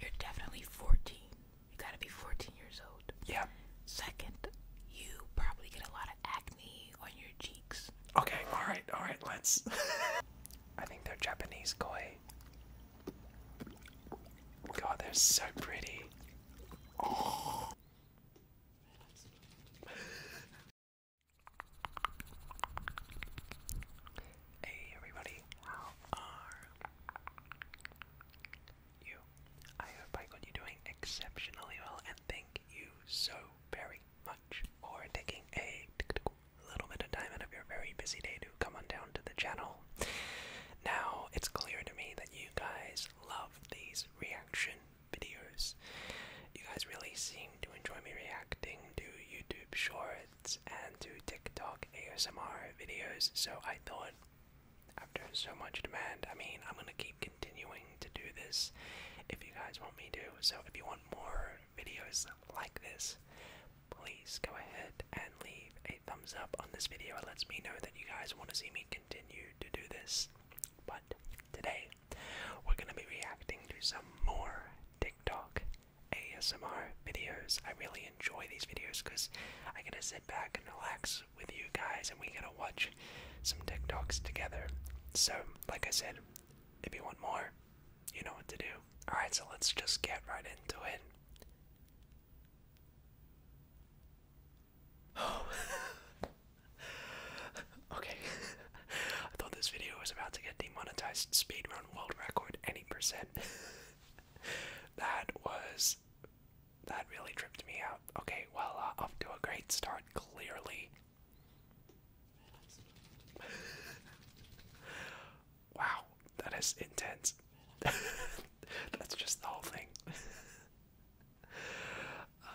You're definitely 14. You gotta be 14 years old. Yeah. Second, you probably get a lot of acne on your cheeks. Okay, alright, alright, let's. I think they're Japanese koi. God, they're so pretty. Hey everybody, how are you? I hope I got you doing exceptionally well and thank you so very much for taking a little bit of time out of your very busy day to come on down to the channel. Now, it's clear to me that you guys love these reaction videos. You guys really seem to enjoy me reacting to YouTube shorts and to TikTok ASMR videos. So I thought, after so much demand, I mean, I'm gonna keep continuing to do this if you guys want me to. So if you want more videos like this, please go ahead and leave a thumbs up on this video. It lets me know that you guys want to see me continue to do this. But today, we're gonna be reacting to some more TikTok ASMR videos. I really enjoy these videos because I get to sit back and relax with you guys and we get to watch some TikToks together. So, like I said, if you want more, you know what to do. Alright, so let's just get right into it. okay. I thought this video was about to get demonetized. Speedrun world record, any percent. that was that really tripped me out. Okay, well, uh, off to a great start, clearly. wow, that is intense. That's just the whole thing.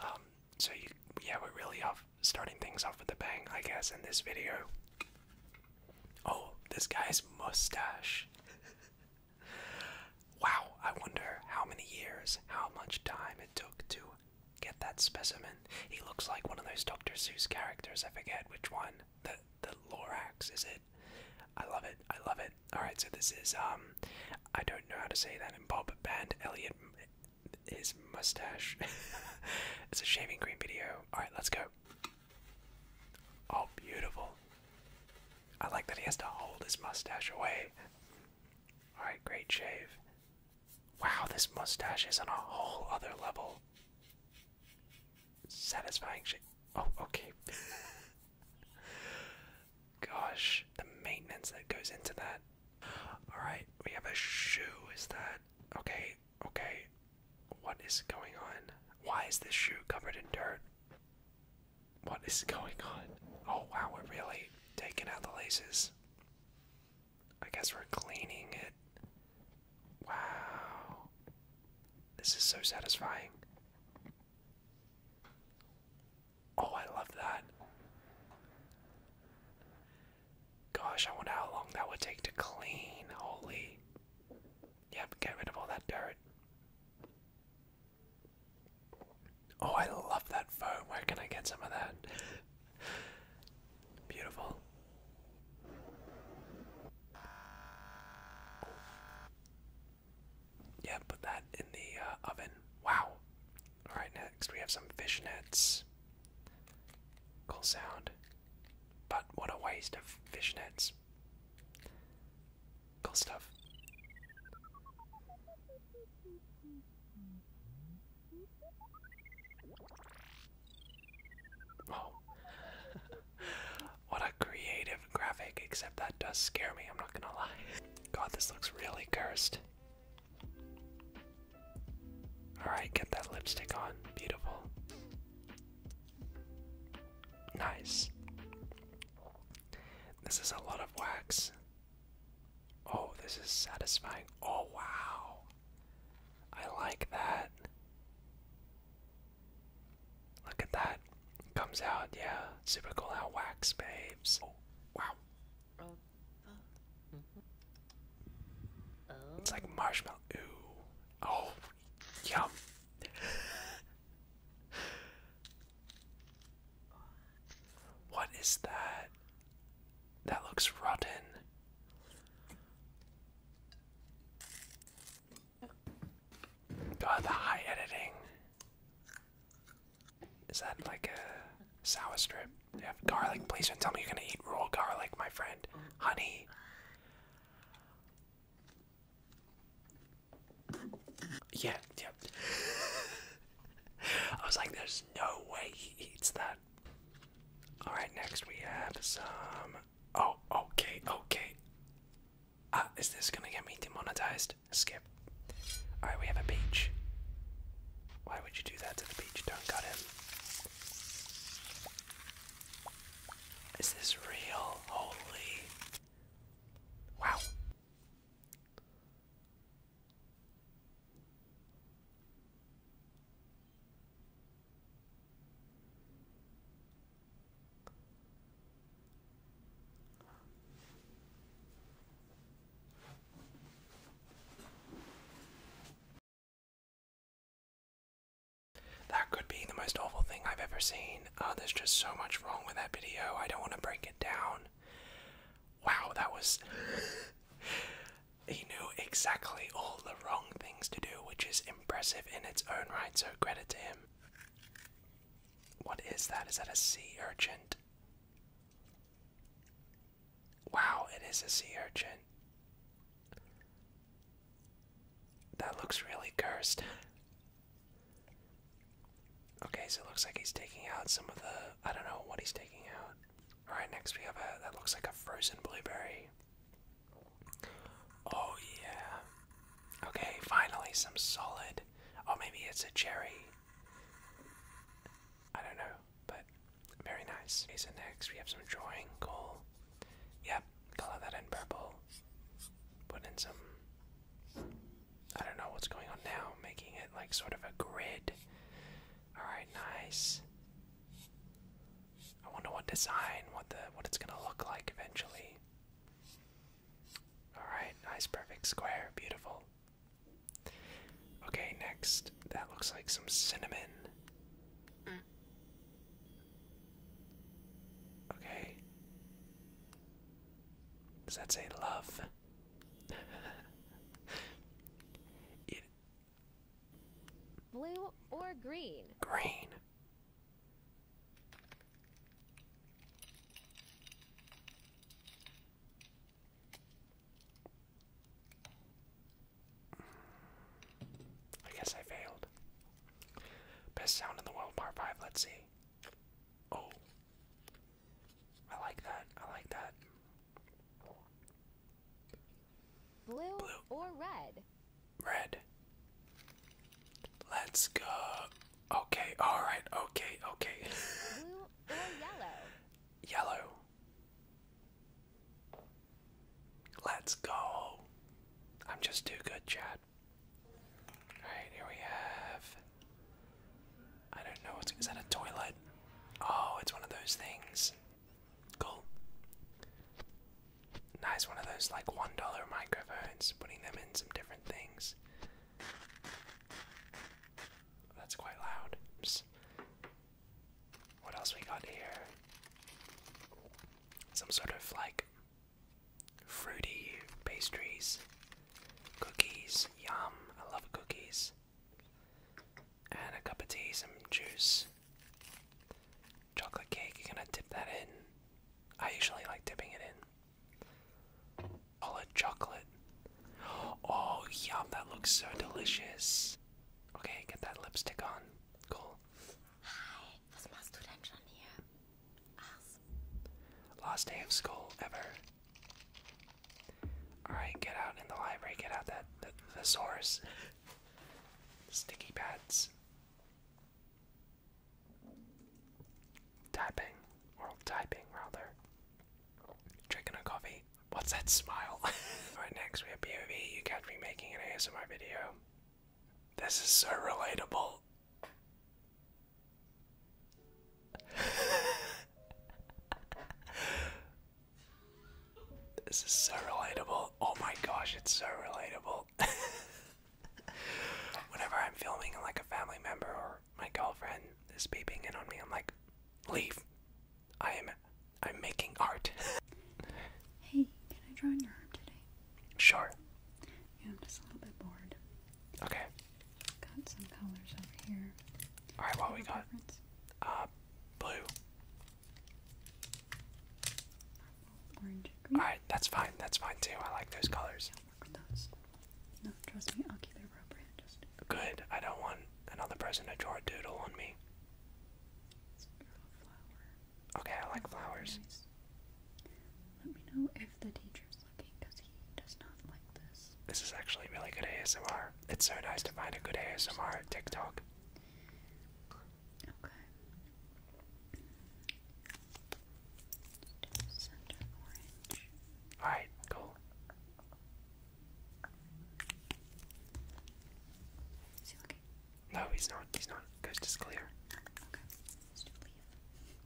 um, so you, yeah, we're really off starting things off with a bang, I guess, in this video. Oh, this guy's mustache. wow, I wonder how many years, how much time it took to get that specimen. He looks like one of those Dr. Seuss characters, I forget which one. The the Lorax, is it? I love it, I love it. Alright, so this is um I don't know how to say that in Bob Band Elliot his mustache. it's a shaving cream video. Alright, let's go. Oh, beautiful. I like that he has to hold his mustache away. Alright, great shave. Wow, this mustache is on a whole other level. Satisfying shit. Oh, okay. Gosh, the maintenance that goes into that. Alright, we have a shoe. Is that. Okay, Okay, what is going on? Why is this shoe covered in dirt? What is going on? Oh wow, we're really taking out the laces. I guess we're cleaning it. Wow. This is so satisfying. Oh, I love that. Gosh, I wonder how long that would take to clean. Holy. Yep, get rid of all that dirt. Oh, I love that foam. Where can I get some of that? Beautiful. Yeah, put that in the uh, oven. Wow. Alright, next we have some fishnets. Cool sound. But what a waste of fishnets. Cool stuff. Oh. what a creative graphic, except that does scare me, I'm not gonna lie. God, this looks really cursed. Alright, get that lipstick on. Beautiful. Nice. This is a lot of wax. Oh, this is satisfying. Oh, wow. I like that. Look at that. Comes out, yeah. Super cool how wax behaves. Oh, wow. Oh, mm-hmm. Mm-hmm. It's like marshmallow. Ooh, Oh, yum. what is that? That looks rotten. God, the high editing. Is that like a sour strip? They have garlic. Please don't tell me you're gonna eat raw garlic, my friend. Honey, yeah, yeah. I was like, there's no way he eats that. Alright, next we have some. Oh, okay, okay. Ah, is this gonna get me demonetized? Skip. Alright, we have a beach. Why would you do that to the beach? Don't cut him. Is this real? Holy. Wow. That could be the most awful thing I've ever seen. Uh, there's just so much wrong with that video. I don't want to break it down. Wow, that was. he knew exactly all the wrong things to do, which is impressive in its own right, so credit to him. What is that? Is that a sea urchin? Wow, it is a sea urchin. That looks really cursed. Okay, so it looks like he's taking out some of the. I don't know what he's taking out. Alright, next we have a. That looks like a frozen blueberry. Oh, yeah. Okay, finally some solid. Oh, maybe it's a cherry. I don't know, but very nice. Okay, so next we have some drawing Cool. Yep, color that in purple. Put in some. I don't know what's going on now, making it like sort of a grid. Alright, nice. I wonder what design, what the what it's gonna look like eventually. Alright, nice perfect square, beautiful. Okay, next that looks like some cinnamon. Okay. Does that say love? Blue or green? Green. I guess I failed. Best sound in the world, part 5. Let's see. Oh. I like that. I like that. Blue, or red? Red. Let's go. Okay, alright, okay, okay. Blue or yellow? Yellow. Let's go. I'm just too good, Chad. Alright, here we have. I don't know what's. Is that a toilet? Oh, it's one of those things. Cool. Nice, one of those like $1 microphones, putting them in some different things. That's quite loud. What else we got here? Some sort of like fruity pastries, cookies, yum, I love cookies. And a cup of tea, some juice, chocolate cake, you're gonna dip that in. I usually like dipping it in. All a chocolate. Oh, yum, that looks so delicious. Okay, get that lipstick on. Cool. Hi, was machst du denn schon hier? Last day of school ever. Alright, get out in the library, get out that the, the source. Sticky pads. Typing. Or typing rather. Drinking a coffee. What's that smile? Alright, next we have POV. You catch me making an ASMR video. This is so relatable. this is so relatable. Oh my gosh, it's so relatable. Whenever I'm filming and like a family member or my girlfriend is peeping in on me, I'm like, leave, I am I'm making art. hey, can I draw on your arm today? Sure. I'm just a little bit bored. Okay. Got some colors over here. Alright, what we got? Uh blue. Purple, orange, green. Alright, that's fine. That's fine too. I like those colors. Yeah, work with those. No, trust me, I'll keep it appropriate. Good. I don't want another person to draw a doodle on me. Okay, I like flowers. Let me know if the teacher's looking because he does not like this. This is actually really good ASMR. It's so nice to find a good ASMR at TikTok. Okay. orange. Alright, cool. No, he's not. He's not. Ghost is clear.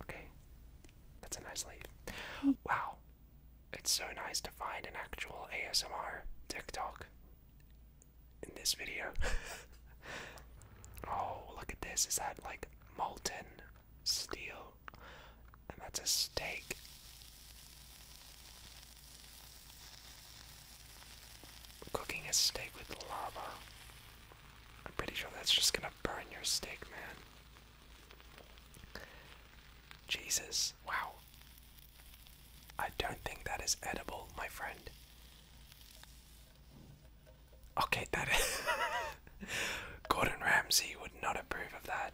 Okay. That's a nice leave. Wow. It's so nice to find an actual ASMR TikTok in this video. oh, look at this. Is that like molten steel? And that's a steak. Cooking a steak with lava. I'm pretty sure that's just gonna burn your steak, man. Jesus, wow. I don't think that is edible, my friend. Okay, that is. Gordon Ramsay would not approve of that.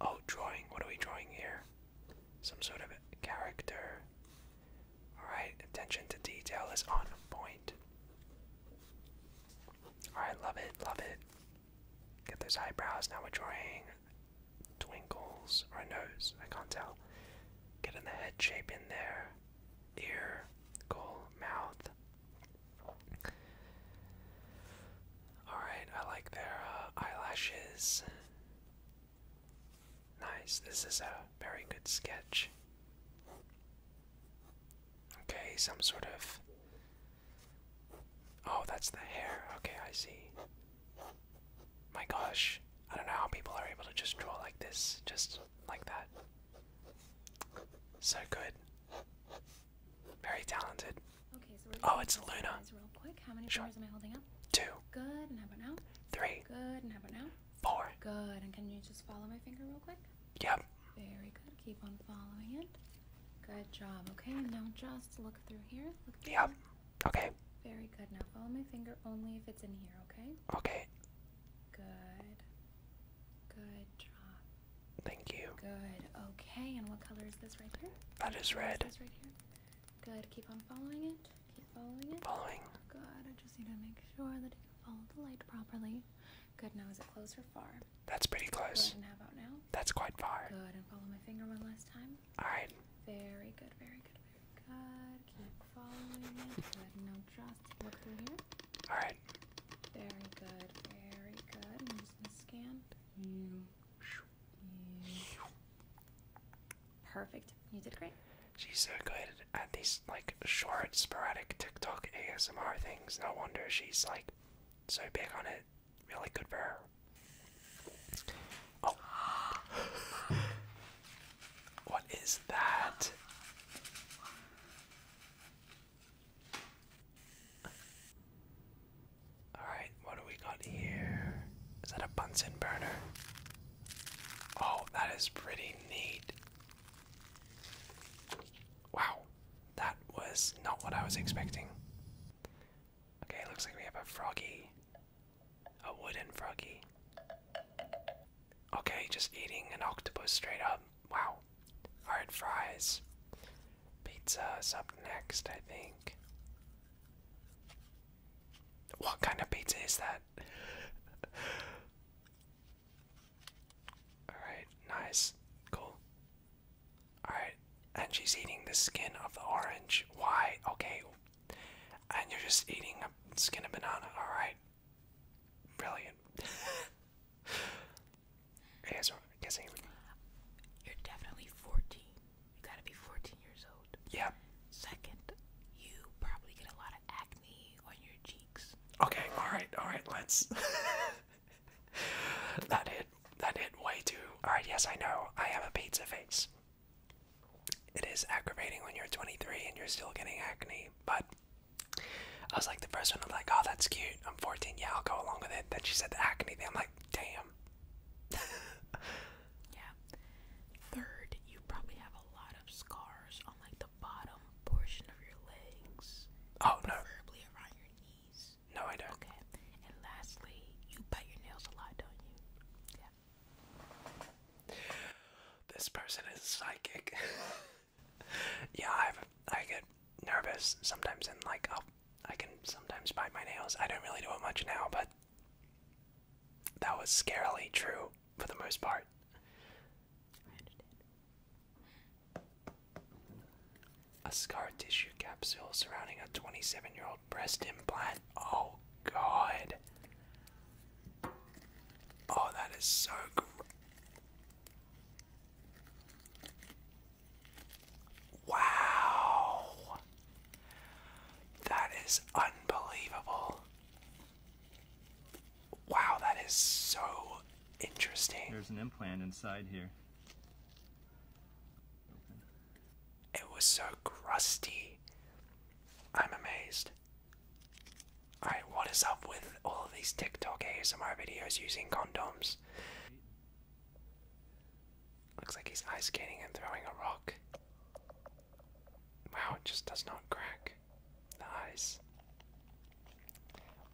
Oh, drawing. What are we drawing here? Some sort of character. Alright, attention to detail is on point. Alright, love it, love it. Get those eyebrows. Now we're drawing twinkles or a nose. I can't tell. Get in the head shape in there. Ear, cool, mouth. Alright, I like their uh, eyelashes. Nice, this is a very good sketch. Okay, some sort of. Oh, that's the hair. Okay, I see. My gosh, I don't know how people are able to just draw like this, just like that. So good. Very talented. Okay, oh, it's Luna. Real quick. How many sure. am I holding up? Two. Good. And how about now? Three. Good. And how about now? Four. Good. And can you just follow my finger real quick? Yep. Very good. Keep on following it. Good job. Okay, now just look through here. Look yep. Okay. Very good. Now follow my finger only if it's in here, okay? Okay. Good. Good job. Thank you. Good. Okay. And what color is this right there? That is red. Is this right here. Good. Keep on following it. Keep following it. Following. Good. I just need to make sure that you can follow the light properly. Good. Now is it close or far? That's pretty close. how about now? That's quite far. Good. And follow my finger one last time. All right. Very good. Very good. Very good. Keep following it. Good. Now just look through here. All right. Very good. Very good. I'm just gonna scan you. Perfect. You did great. She's so good at these like short, sporadic TikTok ASMR things. No wonder she's like so big on it. Really good for her. Oh. what is that? Alright, what do we got here? Is that a Bunsen burner? Oh, that is pretty neat. Wow, that was not what I was expecting. Okay, looks like we have a froggy. A wooden froggy. Okay, just eating an octopus straight up. Wow. Alright, fries. Pizza is up next, I think. What kind of pizza is that? Alright, nice. Cool. Alright, and she's eating the skin of the orange. Why? Okay. And you're just eating a skin of banana. Alright. Brilliant. Yes, You're definitely 14. You gotta be 14 years old. Yeah. Second, you probably get a lot of acne on your cheeks. Okay, alright, alright, let's. that hit, that hit way too. Alright, yes, I know. I have a pizza face. It is aggravating when you're 23 and you're still getting acne, but. I was like the first one. I'm like, oh, that's cute. I'm 14. Yeah, I'll go along with it. Then she said the acne thing. I'm like, damn. yeah. Third, you probably have a lot of scars on like the bottom portion of your legs. Oh no. Preferably around your knees. No, I don't. Okay. And lastly, you bite your nails a lot, don't you? Yeah. This person is psychic. yeah, I've I get nervous sometimes, and like i can sometimes bite my nails. I don't really do it much now, but that was scarily true for the most part. A scar tissue capsule surrounding a 27 year old breast implant. Oh, God. Oh, that is so. Gr Wow. That is unbelievable. Wow, that is so interesting. There's an implant inside here. It was so crusty. I'm amazed. Alright, what is up with all of these TikTok ASMR videos using condoms? Looks like he's ice skating and throwing a rock. Wow, it just does not crack. The ice.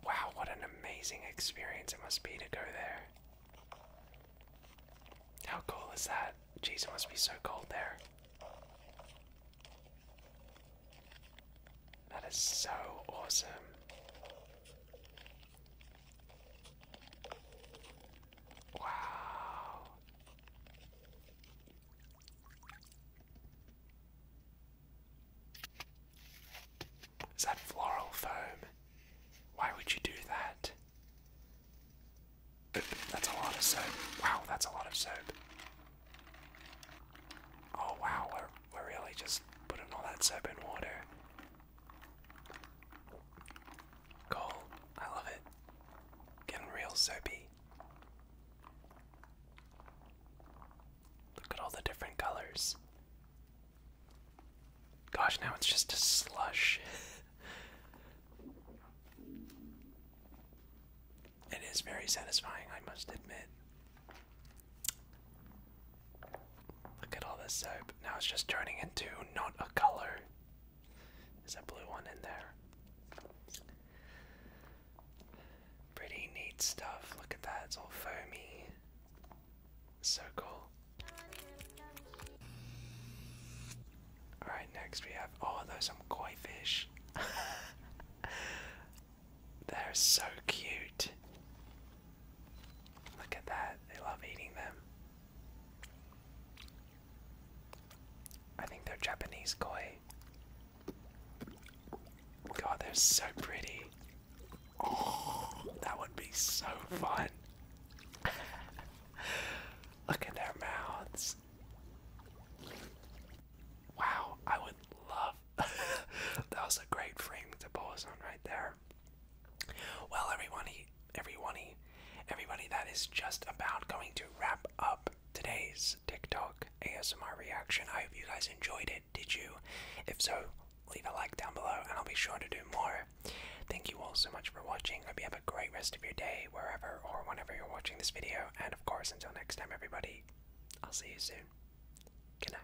Wow, what an amazing experience it must be to go there. How cool is that? Jeez, it must be so cold there. That is so awesome. Wow. Is that floral foam? Why would you do that? That's a lot of soap. Wow, that's a lot of soap. Oh wow, we're, we're really just putting all that soap in water. Cool. I love it. Getting real soapy. Look at all the different colors. Gosh, now it's just a slush. it is very satisfying, I must admit. Look at all this soap. Now it's just turning into not a color. Is that blue one in there. Pretty neat stuff. Look at that. It's all foamy. So cool. Alright, next we have. Oh, those are some koi fish. They're so cute. Look at that. They love eating them. I think they're Japanese koi. God, they're so pretty. Oh, that would be so fun. Look at their mouths. Wow, I would love. that was a great frame to pose on right there. Well, everybody, everybody, everybody, that is just about going to wrap up today's TikTok ASMR reaction. I hope you guys enjoyed it. Did you? If so, leave a like down below, and I'll be sure to do more. Thank you all so much for watching. I Hope you have a great rest of your day, wherever or whenever you're watching this video. And of course, until next time, everybody, I'll see you soon. Good night.